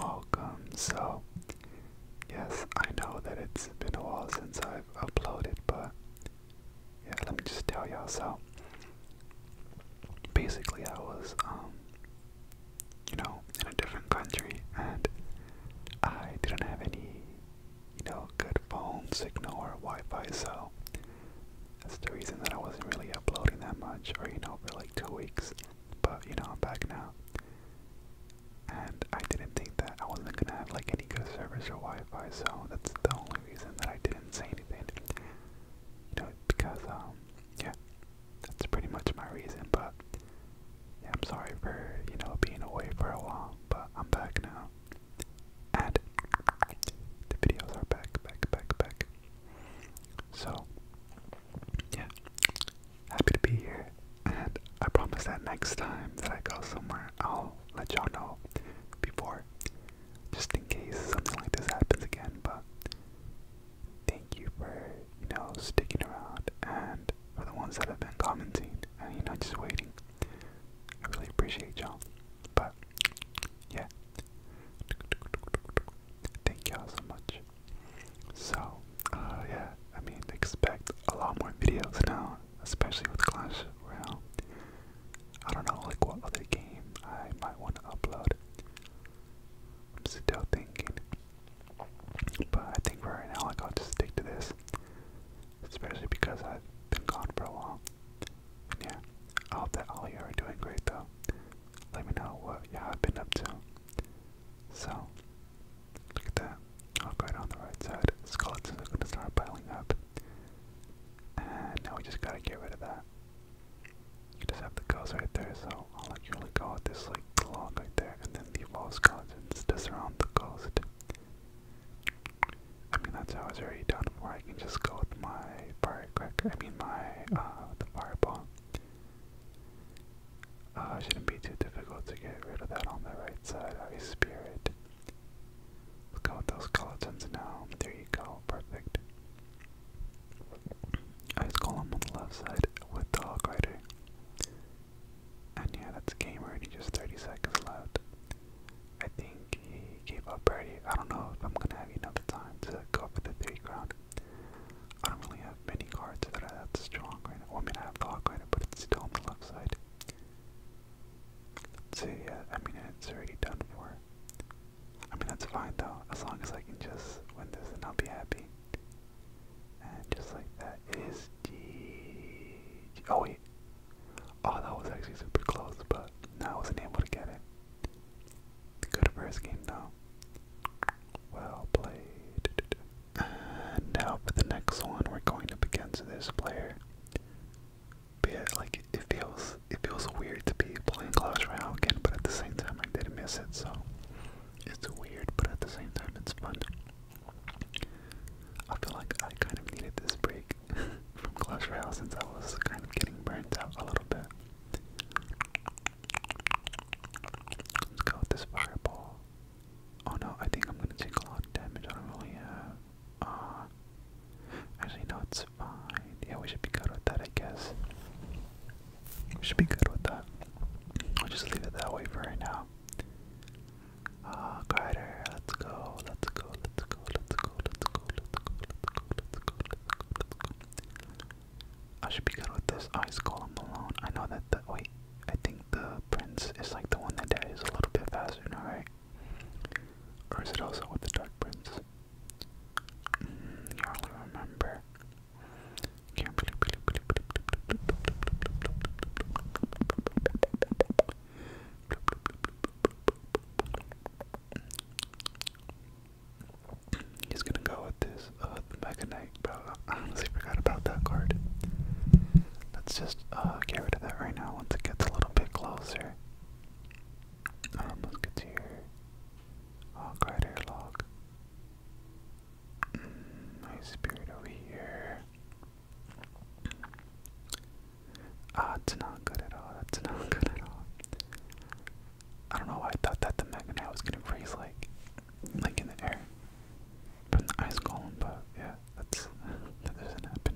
welcome. So, yes, I know that it's been a while since I've uploaded, but yeah, let me just tell y'all. So, basically, I was, um, you know, in a different country and I didn't have any, you know, good phone signal or Wi Fi, so that's the reason that I wasn't really uploading that much, or you know, for like two weeks but you know, I'm back now. And I didn't think that I wasn't gonna have like any good service or Wi-Fi, so that's the only reason that I didn't say anything. You know, because um, yeah, that's pretty much my reason. But yeah, I'm sorry for you know being away for a while, but I'm back now, and the videos are back, back, back, back. So yeah, happy to be here, and I promise that next time that I go somewhere, I'll let y'all know before, just in case something like this happens again. But thank you for you know sticking around, and for the ones that have been commenting and you know just waiting. I really appreciate y'all. But yeah. Thank y'all so much. So, uh, yeah, I mean, expect a lot more videos now, especially with Clash Royale. I don't know, like, what other game I might want to upload. I'm still thinking. But I think for right now, like, I'll to stick to this. Especially because I've been gone for a while. Yeah, I hope that all you are doing great, though. Let me know what y'all have been up to. So, look at that. I'll go on the right side. Skeletons are going to start piling up. And now we just gotta get rid of that. You just have the ghost right there, so I'll like go with this like log right there and then the evolved skeletons to surround the ghost. I mean that's how it's already done where I can just go with my firecracker I mean my uh fireball uh, shouldn't be too difficult to get rid of that on the right side. Ice Spirit. Look out those skeletons now. There you go. Perfect. Ice Golem on the left side with Dog Rider. And yeah, that's game Just 30 seconds left. I think he gave up already. I don't know if I'm gonna have enough time to go for the three crown. I don't really have many cards that are that strong right Well, I mean, I have Fog Rider, but it's still on the left side. So yeah, I mean, it's already done for. I mean, that's fine though, as long as I can just win this and I'll be happy. And just like that, it is the. Oh, wait. Oh, that was actually super close, but now I wasn't able to get it. Good first game though. Well played. And now for the next one, we're going to up against this player. But yeah, like it feels it feels weird to be playing Clash Royale again, but at the same time I did not miss it, so it's weird, but at the same time it's fun. I feel like I kind of needed this break from Clash Royale since I was kind of getting burnt out a little bit. Let's go with this fireball. Oh no, I think I'm gonna take a lot of damage. I don't really have. Uh, actually, no, it's fine. Yeah, we should be good with that, I guess. We should be good with that. I'll just leave it that way for right now. Uh, Grider, let's go, let's go, let's go, let's go, let's go, let's go, let's go, let's go, let's go, let's go, let's go, I should be good with this. ice column alone. I know that the wait. I think the prince is like the one that daddies a little bit faster now, right? Or is it also with the dark prince? you mm, hardly remember. He's gonna go with this uh, Mega Knight, bro. honestly forgot about that card. Let's just uh, get rid of that right now once it gets a little bit closer. Um Hawk uh, Rider log. Mm, my spirit over here. Ah, it's not good at all. That's not good at all. I don't know why I thought that the magnet was gonna freeze, like, like in the air from the ice column, but yeah, that's that does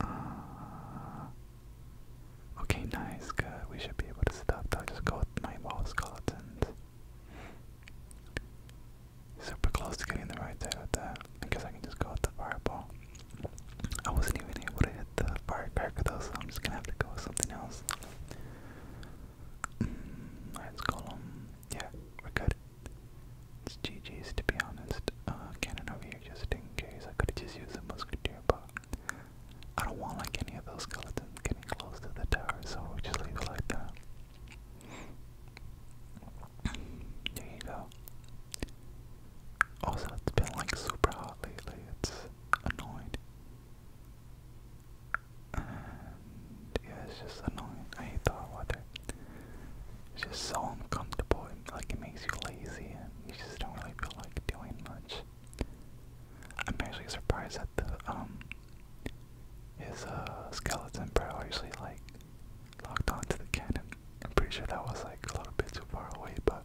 uh, okay, nice, good. We should be able to stop. I'll just go with my wall skeletons. Super close to getting the right side with that. I guess I can just go with the fireball. I wasn't even able to hit the fire firecracker though, so I'm just gonna have to go with something else. Mm, let's call Yeah, we're good. It's GG's to be honest. Uh, cannon over here just in case. I could've just used a musketeer, but I don't want like any of those skeletons getting close to the tower, so we just leave it like that. There you go. Also, it's been like super hot lately, it's annoying. it's just annoying. I hate hot weather. It's just so uncomfortable, it, like it makes you lazy and you just don't really feel like doing much. I'm actually surprised that the, um, his, uh, skeleton bro actually, like, locked onto the cannon. I'm pretty sure that was, like, a little bit too far away, but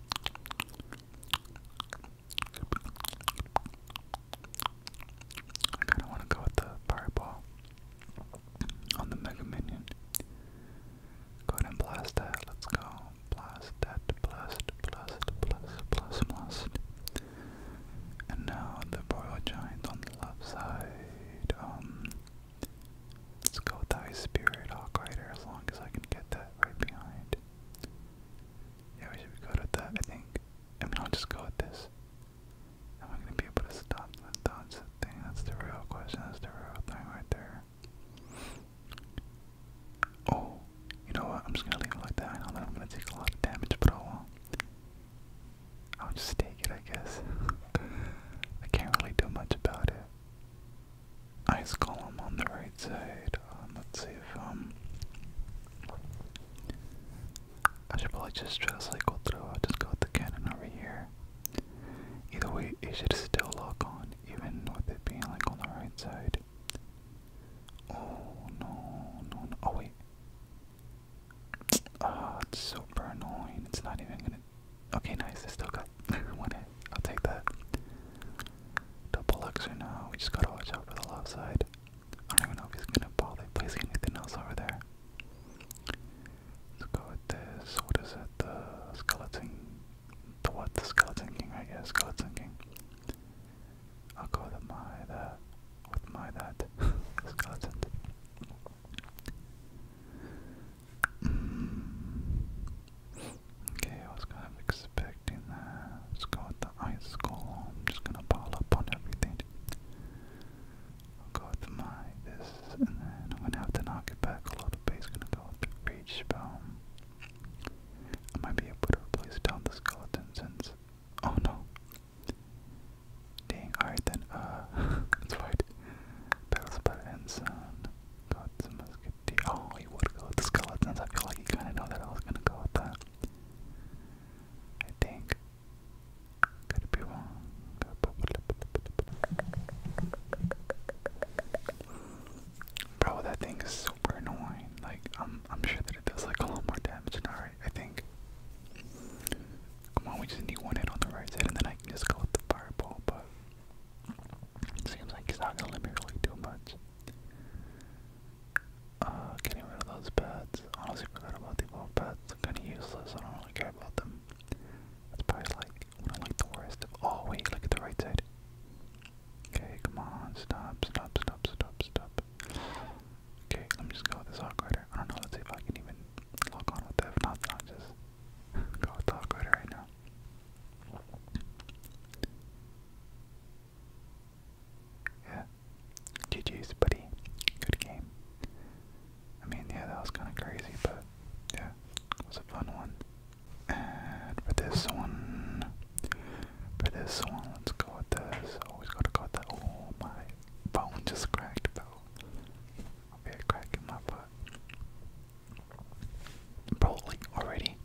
I kind of want to go with the fireball on the Mega Minion. Go ahead and blast that. Let's go. Blast that. Blast, blast, blast, blast, blast. And now the Royal Giant on the left side. Um, Let's go with the Ice Spirit Hawk Rider as long as I can get that right behind. Yeah, we should be good with that, I think. I mean, I'll just go with this. Am I going to be able to stop that? That's the thing. That's the real question. That's the real thing right there. Oh, you know what? I'm just going to leave it like that. I know that I'm going to take a lot of damage, but I oh won't. I'll just take it, I guess. I can't really do much about it ice column on the right side. Um, let's see if um, I probably just try to cycle through. i just go the cannon over here. Either way, it should still lock on, even with it being like on the right side. Oh no, no, Oh wait. Ah, it's super annoying. It's not even gonna Okay, nice. It's still got One hit. I'll take that. Double elixir now. We just gotta watch out for the left side. I don't even know if he's gonna bother placing anything else over there. Let's go with this. What is it? The skeleton. The what? The skeleton king, right? Yeah, skeleton king. I'll go with my that. With my that. skeleton. Okay, I was kind of expecting that. let go with the ice goal. just gonna pile up on everything. go with my this, and then I'm gonna have to knock it back a little bit. gonna go with the rage spell. might be able to replace down the skeleton since. Oh no. Dang, alright then, uh, that's right. Battle Spot Ensign got the musketeer. Oh, he would go with the skeletons. I feel like he kind of knew that I was gonna go with that. I think. Could be wrong. Bro, that thing is super annoying. Like, I'm, I'm sure that it does like a lot more damage than alright. I think. Come on, we just need one hit on the right side, and then I can just go with the fireball. But Seems like he's not gonna let me really do much. Uh, getting rid of those pets. Honestly, forgot about the evolved pets. kinda useless. I don't really care about them. That's probably like one of like the worst of. Oh wait, look at the right side. Okay, come on, stop, stop, stop, stop, stop. Okay, let me just go with this hawk I don't know. Let's see if I can even lock on with that. not, I'll just go with the hawk right now. Yeah. GG's, buddy. Good game. I mean, yeah, that was kind of crazy, but yeah, was a fun one. And for this one, for this one, let's go with this. Always gotta go with that. Oh, my bone just cracked, though. I'll be cracking my butt. Probably already.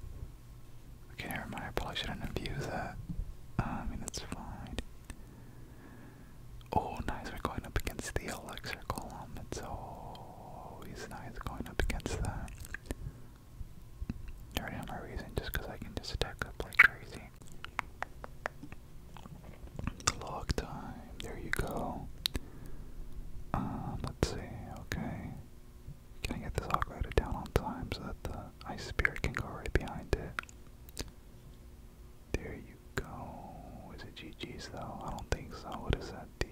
Okay, never mind. I probably shouldn't have used that. Uh, I mean, that's fine. Oh, nice. We're going up against the Elixir Golem. It's always nice going up against that. I have my reason just I can just attack up like crazy. Log time. There you go. Um, let's see. Okay. Can I get this aqueduct down on time so that the ice spirit can go right behind it? There you go. Is it GG's though? I don't think so. What is that? D.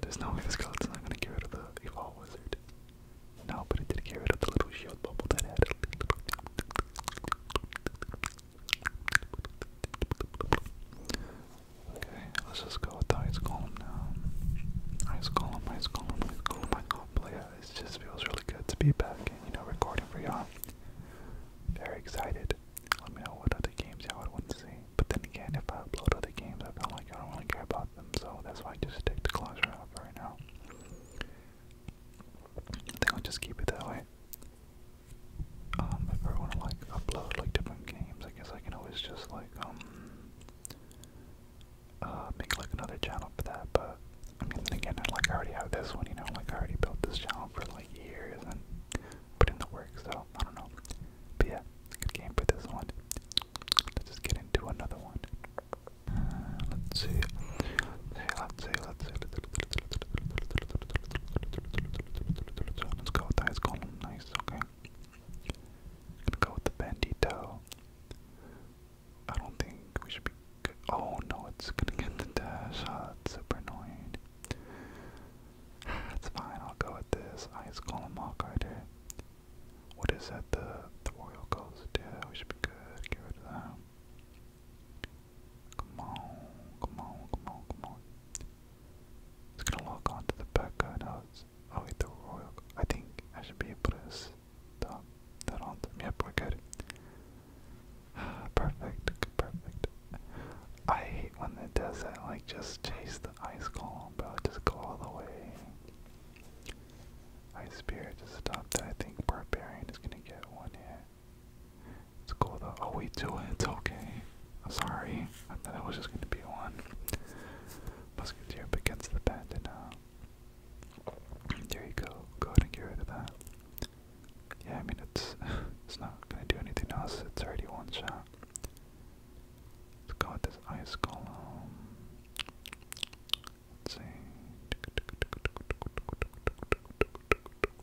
There's no way this skeleton's not gonna get rid of the evolve wizard. No, but it did get rid of the little shield bubble that had. Okay, let's just go with ice column now. Ice column, ice column, ice column, ice column. But yeah, it just feels really good to be back and, you know, recording for y'all. Very excited. Let me know what other games y'all would want to see. But then again, if I upload other games, I feel like I don't really care about them, so that's why I just stick to Clash right now. I think I'll just keep it that way. Um, if I want to like upload like different games, I guess I can always just like um uh make like another channel for that. But I mean, again, I like I already have this one, you know, like I already built this channel for like years and put in the work, so I don't know. But yeah, good game for this one. Let's just get into another one. Uh, let's see. Let's see, let's see. Let's go with the ice golem. Nice, okay. Gonna go with the bandito. I don't think we should be good. Oh no, it's gonna get the dash. Oh, that's super annoying. It's fine, I'll go with this ice golem hawk rider. What is that? The the royal ghost? Yeah, we should be good. Get rid of that. Come on, come on, come on, come on. It's gonna lock onto the back guy now. It's, oh the royal. I think I should be able to stop that on them. Yep, we're good. perfect, perfect. I hate when it does that. Like just chase the ice column, bro. Just go all the way. Ice Spirit just stopped I think Barbarian is gonna get one here. It's cool though. Oh, we do it. Okay. I'm sorry. I thought it was just going to be one. Musketeer Against the bandit now. Uh, there you go. Go ahead and get rid of that. Yeah, I mean, it's, it's not going to do anything else. It's already one shot. Let's go with this ice column. Let's see.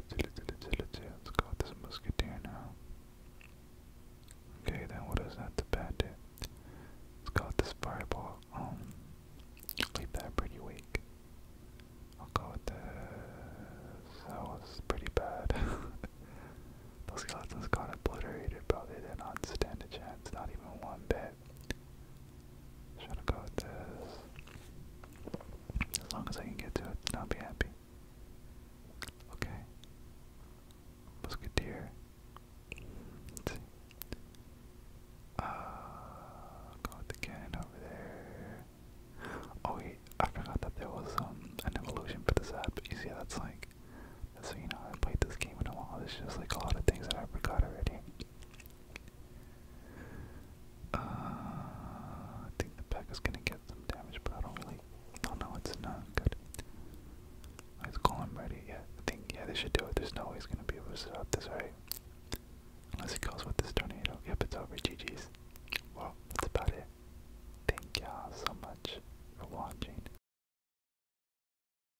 Let's go with this musketeer now. Okay, then what is that? The bad? did. Let's go with this fireball. Um, leave that pretty weak. I'll go with this. That was pretty bad. Those skeletons got obliterated, bro. They did not stand a chance, not even one bit right. Just trying to go with this. As long as I can get to it, I'll be happy. Okay. Musketeer. Let's see. Uh, go with the cannon over there. Oh wait, I forgot that there was um an evolution for this app. You see, that's like, that's you know I played this game in a while. It's just like a lot of things that I forgot already. Uh, I think the pack is gonna get some damage, but I don't really. Oh no, it's not good. Let's call him ready. Yeah, I think yeah they should do it. There's no gonna be able to stop this, right? Unless he goes with this tornado. Yep, it's over. GG's. Well, that's about it. Thank y'all so much for watching.